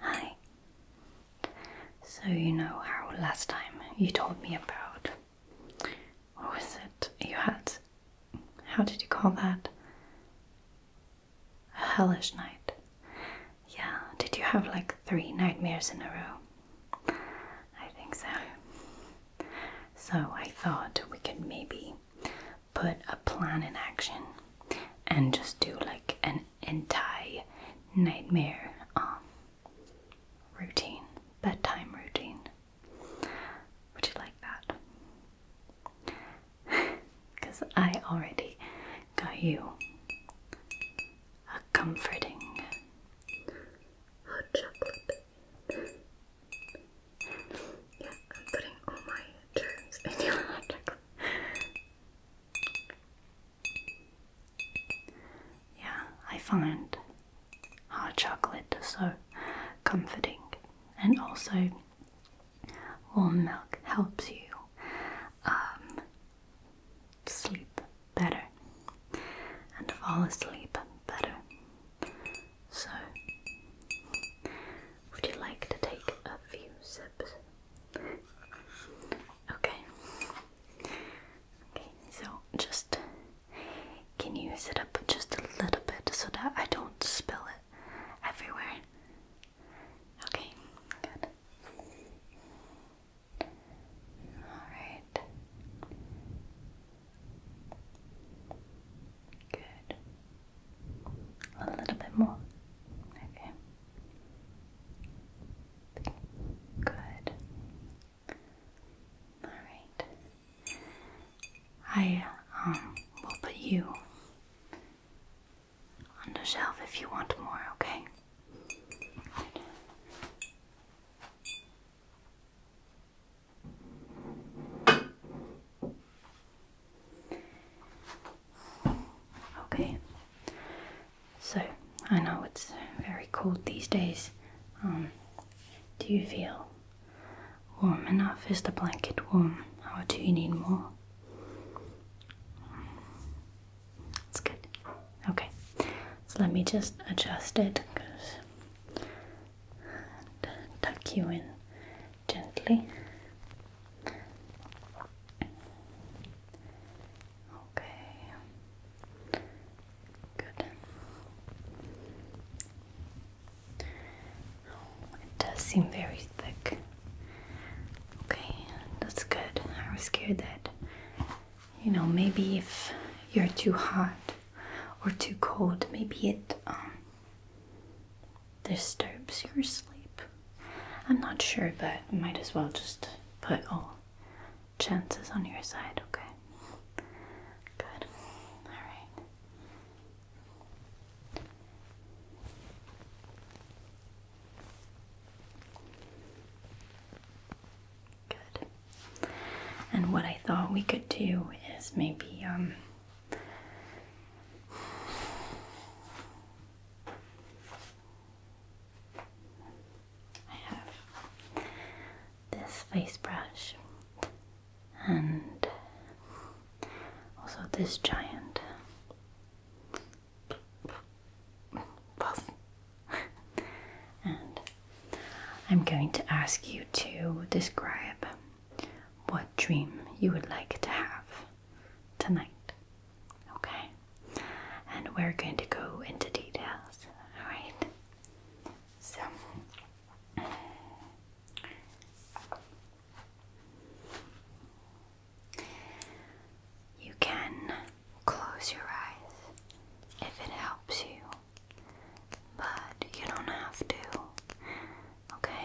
Hi. So, you know how last time you told me about. What was it? You had. How did you call that? A hellish night. Yeah, did you have like three nightmares in a row? I think so. So, I thought we could maybe put a plan in action and just do like an entire nightmare um, routine, bedtime routine. Would you like that? Because I already got you a comforting hot chocolate. Yeah, I'm putting all my germs in your electric. Yeah, I find hot chocolate so comforting, and also warm milk helps you um, sleep better and fall asleep better. So, would you like to take a few sips? Okay. Okay, so just can you sit up just a little bit so that I don't spill it everywhere? Okay, good. Alright. Good. A little bit more. Okay. Good. All right. I um will put you on the shelf if you want more, okay? Okay, so I know it's very cold these days. Um, do you feel warm enough? Is the blanket warm, or do you need more? That's good. Okay, so let me just adjust it because tuck you in gently. Okay, good. Oh, it does seem very thick. Okay, that's good. I was scared that, you know, maybe if you're too hot, or too cold. Maybe it um, disturbs your sleep. I'm not sure, but might as well just put all chances on your side, okay? Good. Alright. Good. And what I thought we could do is maybe um, I have this face brush and also this giant puff and I'm going to ask you to describe what dream you would like to have tonight. Okay? And we're going to go into details. Alright? So. You can close your eyes if it helps you. But you don't have to, okay?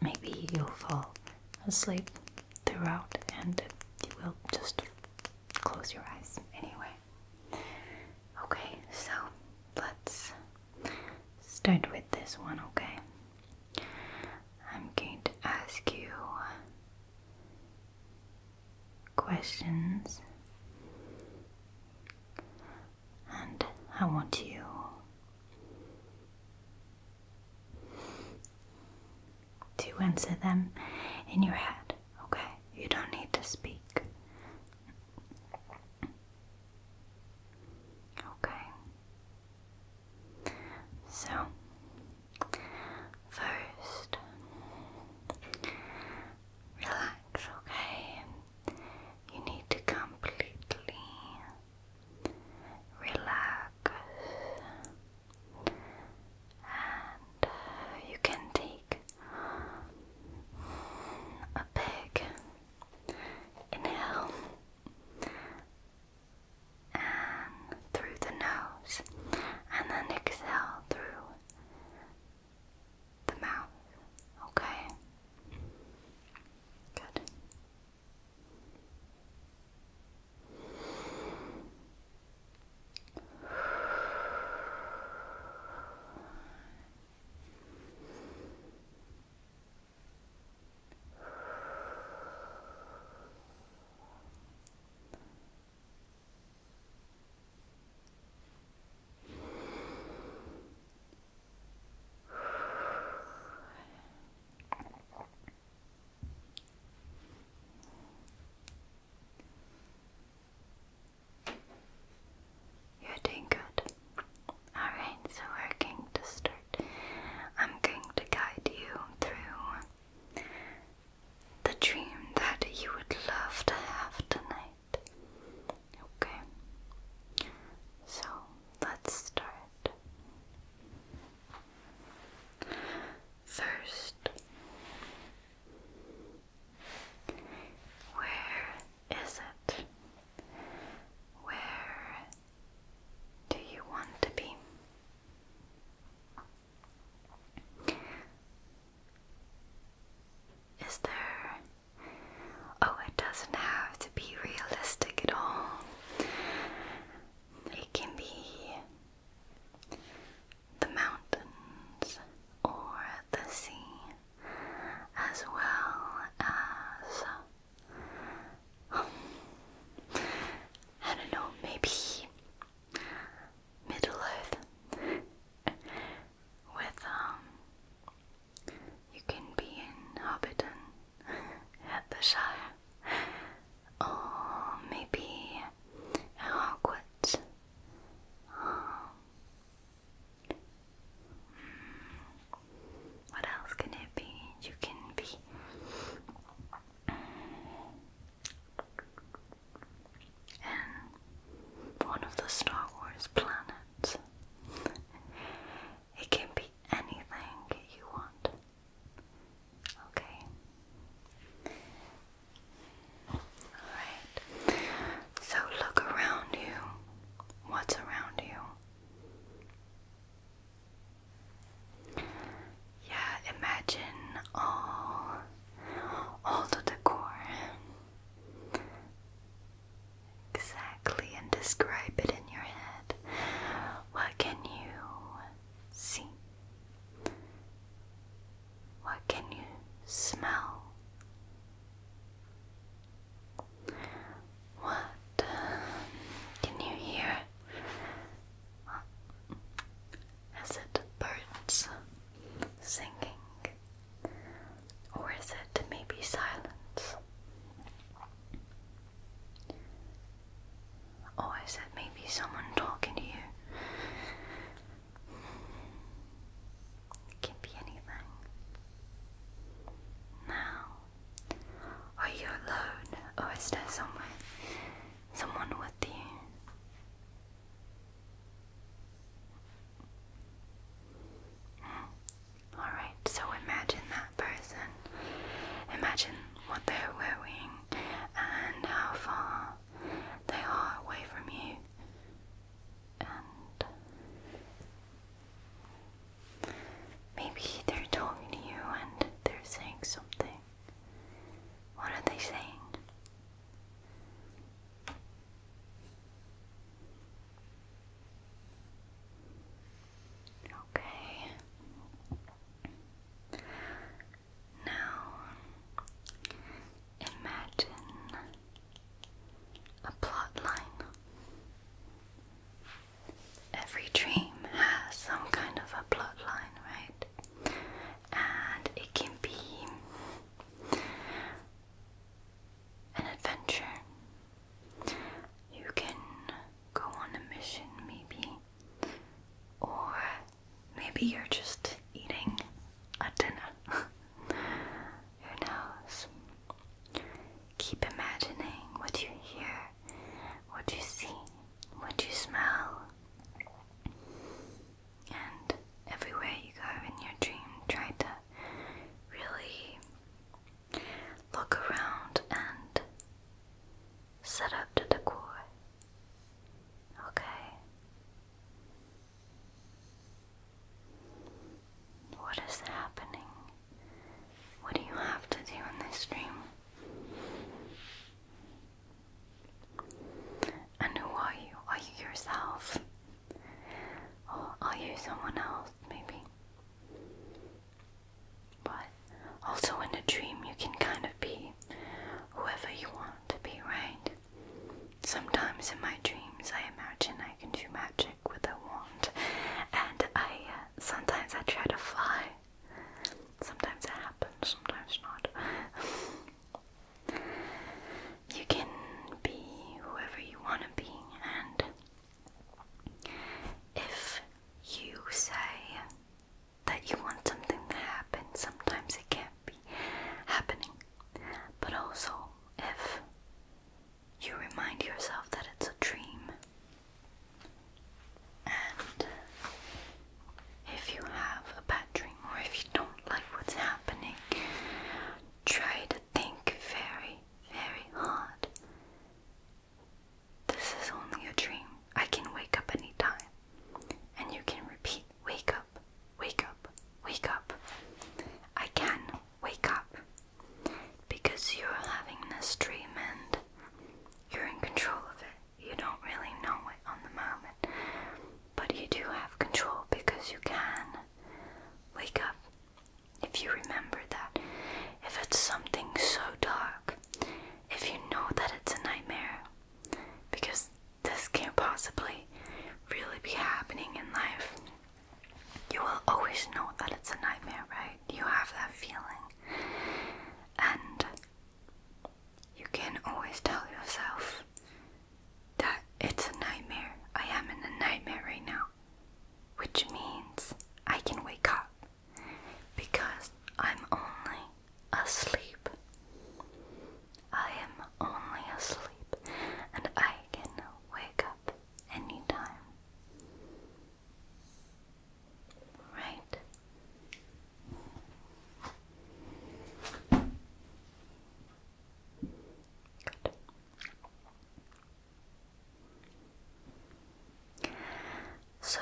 Maybe you'll fall asleep throughout and you will just close your eyes anyway. Okay, so let's start with this one, okay? I'm going to ask you questions and I want you. To answer them in your head, okay? You don't need to speak. Okay. So, first, relax, okay? You need to completely relax, and you can take a big inhale and through the nose, and then exhale through the mouth. Okay. Good. You're doing good. Alright, so we're going to start. I'm going to guide you through the dream that you would love to have tonight. Okay, so let's start. First, where is it? Where do you want to be? Is there. Oh, it doesn't have to be realistic at all. It can be the mountains or the sea, as well as. I don't know, maybe Middle Earth with um you can be in Hobbiton at the Shire or maybe at Hogwarts um, hmm, what else can it be? You can be in one of the Star Wars planets. it can be anything you want. Okay. Alright. So look around you. What's around you? Yeah, imagine all all the decor exactly and describe it in your head. What can you see? What can you smell? What um, can you hear? As it birds singing? Or is it maybe silence? Or is it maybe someone talking to you? It can be anything. Now, are you alone or is there someone, someone with you? Alright, so imagine that person. Imagine what they're wearing and how far they are away from you. And maybe they're talking to you and they're saying something. What are they saying? Okay. Now imagine a plot line. Every dream has some kind of a plot line, right? and it can be an adventure. You can go on a mission, maybe, or maybe you're just eating a dinner. Who knows? Keep imagining what you hear, what you see, what you smell. And everywhere you go in your dream, try to really look around and set up the decor. Okay? What is happening? What do you have to do in this dream? And who are you? Are you yourself? Or are you someone else, maybe? But also in a dream, you can kind of be whoever you want to be, right? Sometimes in my dreams, I imagine I can do magic with a wand, and I uh, sometimes I try to fly. Sometimes it happens, sometimes not. You can be whoever you want to be, and if you say that you want something to happen, sometimes it can't be happening. But also, if you remind yourself that it's a dream and if you have a bad dream or if you don't like what's happening, try to think very, very hard. This is only a dream. I can wake up any time, And you can repeat wake up, wake up, wake up. I can wake up because you're having this dream and you're in control of it you don't really know it on the moment, but you do have control because you can wake up if you remember that. If it's something so dark, if you know that it's a nightmare, because this can't possibly really be happening in life. You will always know that it's a nightmare, right? You have that feeling. And you can always tell yourself that it's a nightmare. I am in a nightmare right now, which means I can wake up because I'm only asleep. I am only asleep and I can wake up anytime. Right? So,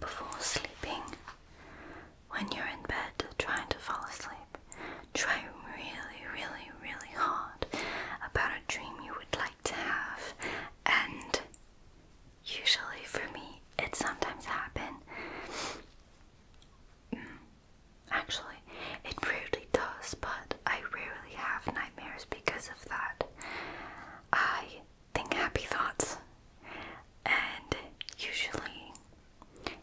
before sleeping, when you're in bed trying to fall asleep, try really, really, really hard about a dream you would like to have and Usually, for me, it sometimes happens. Mm, actually, it really does, but I rarely have nightmares because of that. I think happy thoughts, and usually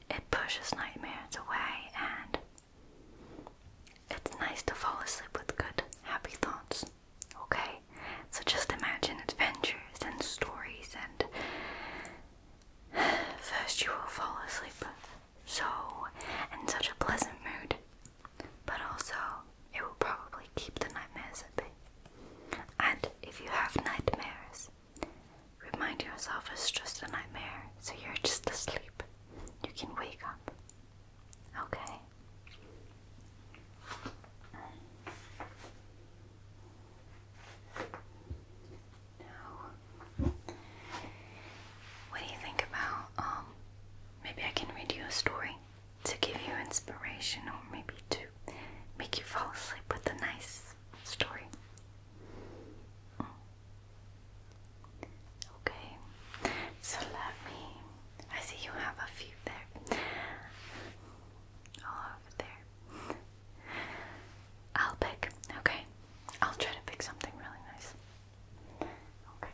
it pushes nightmares away, and it's nice to fall asleep with good, happy thoughts. Okay? So just imagine adventures and stories, and first you will fall asleep so in such a pleasant mood, but also it will probably keep the nightmares at bay. And if you have nightmares, remind yourself it's just a nightmare, so you're just asleep. You can wake up. Okay. Now, what do you think about um maybe I can read you a story to give you inspiration or maybe to make you fall asleep with a nice story. Mm. Okay. So let me I see you have a few there. All there. I'll pick. Okay. I'll try to pick something really nice. Okay.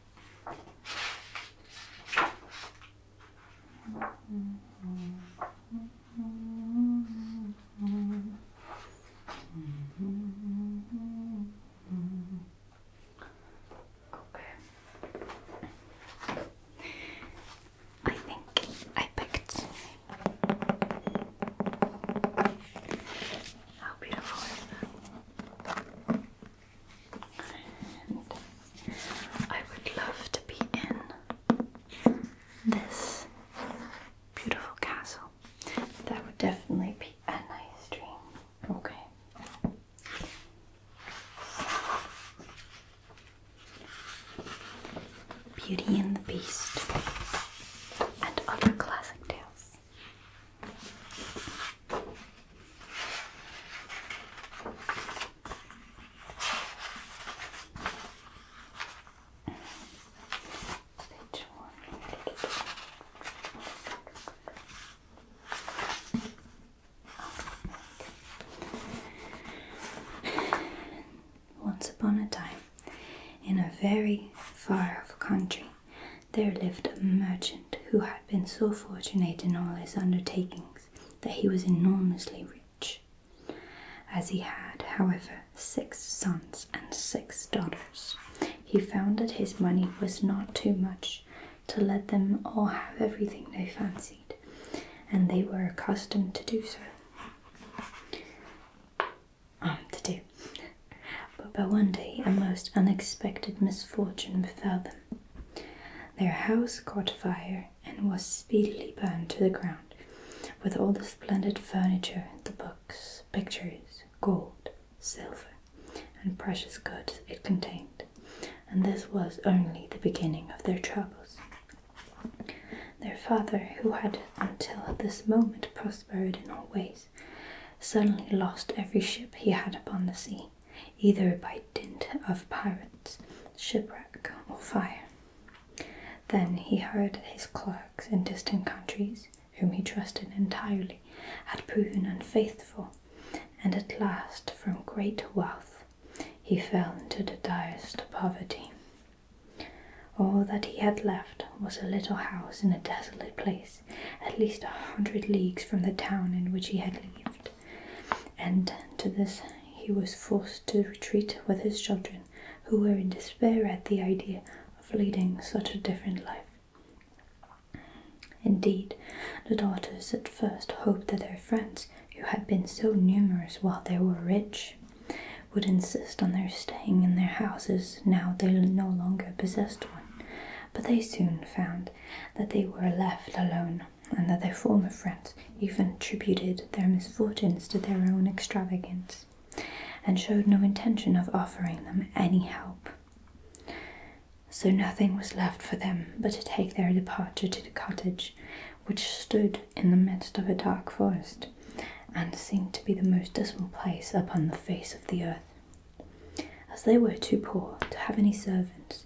Okay. I think I picked. How beautiful is that? I would love to be in this beautiful castle. That would definitely be a nice dream. Okay. Beauty and the Beast and other classic tales. Once upon a time, in a very far off country, there lived a merchant who had been so fortunate in all his undertakings that he was enormously rich. As he had, however, six sons and six daughters, he found that his money was not too much to let them all have everything they fancied, and they were accustomed to do so. Um, to do. But, but one day a most unexpected misfortune befell them. Their house caught fire and was speedily burned to the ground, with all the splendid furniture, the books, pictures, gold, silver, and precious goods it contained. And this was only the beginning of their troubles. Their father, who had until this moment prospered in all ways, suddenly lost every ship he had upon the sea either by dint of pirates, shipwreck, or fire. Then he heard his clerks in distant countries, whom he trusted entirely, had proven unfaithful, and at last, from great wealth, he fell into the direst poverty. All that he had left was a little house in a desolate place at least a hundred leagues from the town in which he had lived. And to this he was forced to retreat with his children, who were in despair at the idea of leading such a different life. Indeed, the daughters at first hoped that their friends, who had been so numerous while they were rich, would insist on their staying in their houses now they no longer possessed one, but they soon found that they were left alone and that their former friends even attributed their misfortunes to their own extravagance and showed no intention of offering them any help. So nothing was left for them but to take their departure to the cottage, which stood in the midst of a dark forest and seemed to be the most dismal place upon the face of the earth. As they were too poor to have any servants,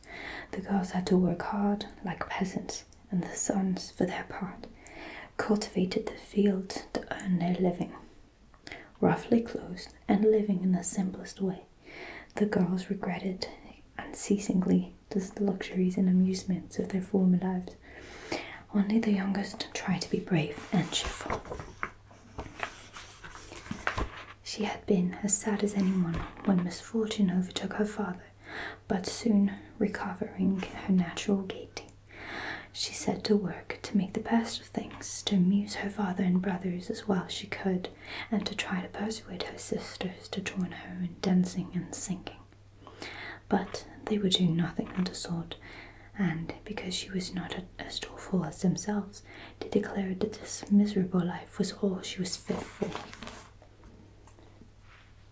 the girls had to work hard like peasants, and the sons, for their part, cultivated the fields to earn their living. Roughly clothed and living in the simplest way, the girls regretted unceasingly the luxuries and amusements of their former lives. Only the youngest tried to be brave and cheerful. She had been as sad as anyone when misfortune overtook her father, but soon recovering her natural gaiety, she set to work to make the best of things, to amuse her father and brothers as well as she could, and to try to persuade her sisters to join her in dancing and singing. But they would do nothing of the sort, and because she was not a as doleful as themselves, they declared that this miserable life was all she was fit for.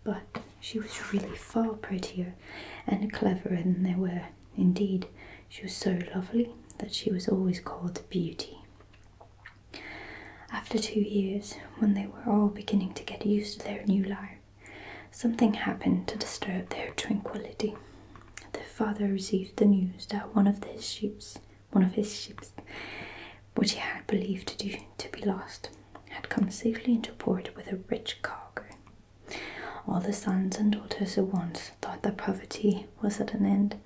But she was really far prettier and cleverer than they were. Indeed, she was so lovely that she was always called Beauty. After two years, when they were all beginning to get used to their new life, something happened to disturb their tranquility the father received the news that one of his ships, one of his ships, which he had believed to, be lost, had come safely into port with a rich cargo. All the sons and daughters at once thought that poverty was at an end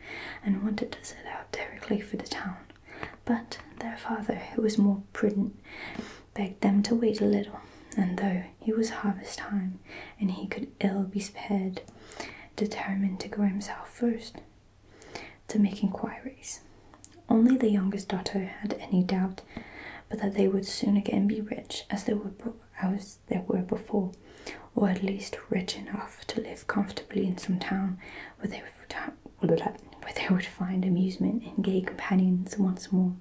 and wanted to set out directly for the town. But their father, who was more prudent, begged them to wait a little, and though year he was harvest time, and he could ill be spared, determined to go himself first to make inquiries. Only the youngest daughter had any doubt but that they would soon again be rich as they were, as they were before, or at least rich enough to live comfortably in some town where they would, where they would find amusement and gay companions once more.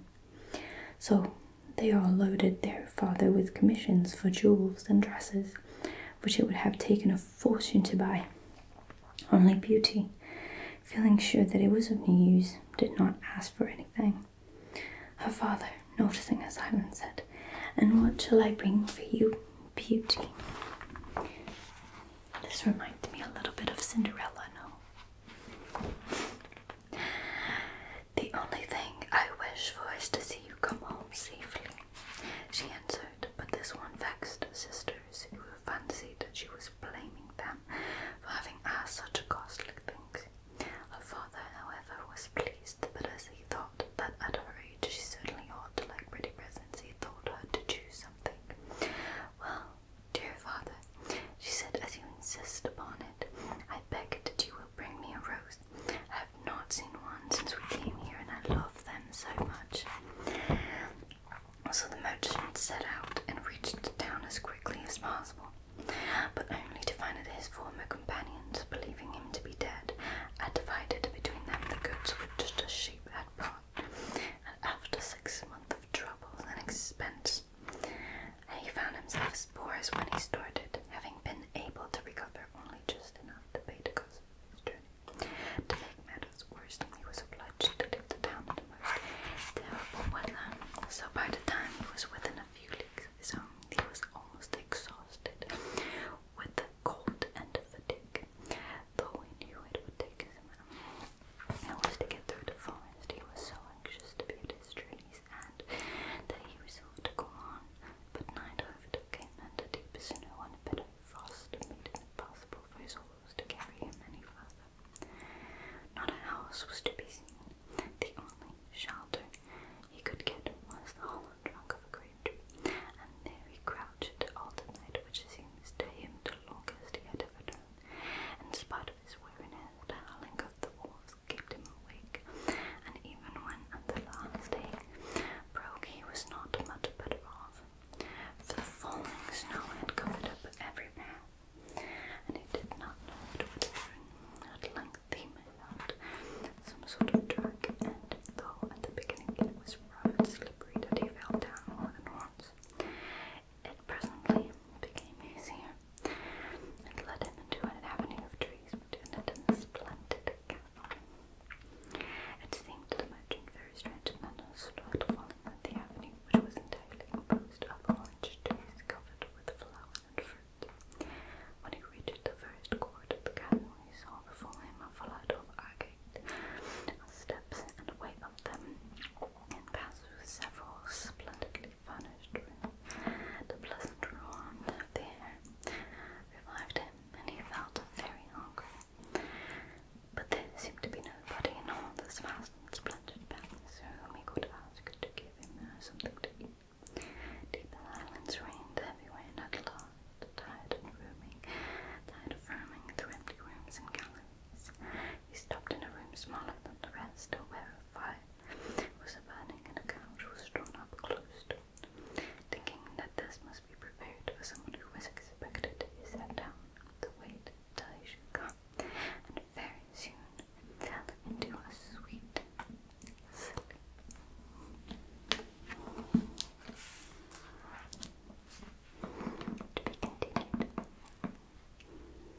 So they all loaded their father with commissions for jewels and dresses, which it would have taken a fortune to buy. Only Beauty, feeling sure that it was of no use, did not ask for anything. Her father, noticing her silence, said, And what shall I bring for you, Beauty? This reminds me a little bit of Cinderella, no? The only thing I wish for is to see you come home safely, she answered, but this one vexed her sisters, who fancied that she was blaming them for having asked such costly things. Her father, however, was pleased, but as he thought that at her age she certainly ought to like pretty presents, he told her to choose something. Well, dear father, she said, as you insist upon it, I beg that you will bring me a rose. I have not seen one since we came here, and I love them so much. So the merchant set out and reached the town as quickly as possible, but only to find that his former companions, believing him to be dead, had divided between them the goods just the sheep had brought. And after six months of trouble and expense, and he found himself as poor as when he started, having been able to recover only just enough to pay the cost of his journey. To make matters worse, he was obliged to leave the town most terrible weather, so by the time he was within a few leagues of his home, he was almost exhausted with the cold and fatigue, though he knew it would take him hours to get through the forest. He was so anxious to be his journey and that he resolved to go on, but night overtook him, and the deepest snow and a bitter frost made it impossible for his horse to carry him any further. Not a house was to be seen. The only shelter he could get was the hollow trunk of a great tree, and there he crouched all the night, which seems to him the longest he had ever done. In spite of his weariness, the howling of the wolves kept him awake, and even when the last day Brokey was not much better off, for the falling snow had covered up every path, and he did not know what would happen. At length he made out some sort of track, and though at the beginning it was rough and slippery that he fell down more than once, it presently became easier and led him into an avenue of trees between it and the splendid castle. It seemed to the merchant very strange and unusual to follow that the avenue, which was entirely composed of orange trees covered with flowers and fruit. When he reached the first court of the castle, he saw before him a flood of agate steps, and away up them and passed through several splendidly the pleasant warmth of revived him, and he felt very hungry. But there seemed to be nobody in all this vast splendid palace whom he could ask to give him uh, something to eat. Deep silence reigned everywhere, and at tired and roaming, tired of roaming through empty rooms and galleries, he stopped in a room smaller than the rest, where a fire was abandoning and a couch was drawn up close Thinking that this must be prepared for someone who was expected, he sat down to wait till he should come, and very soon fell into a sweet sleep. To be continued.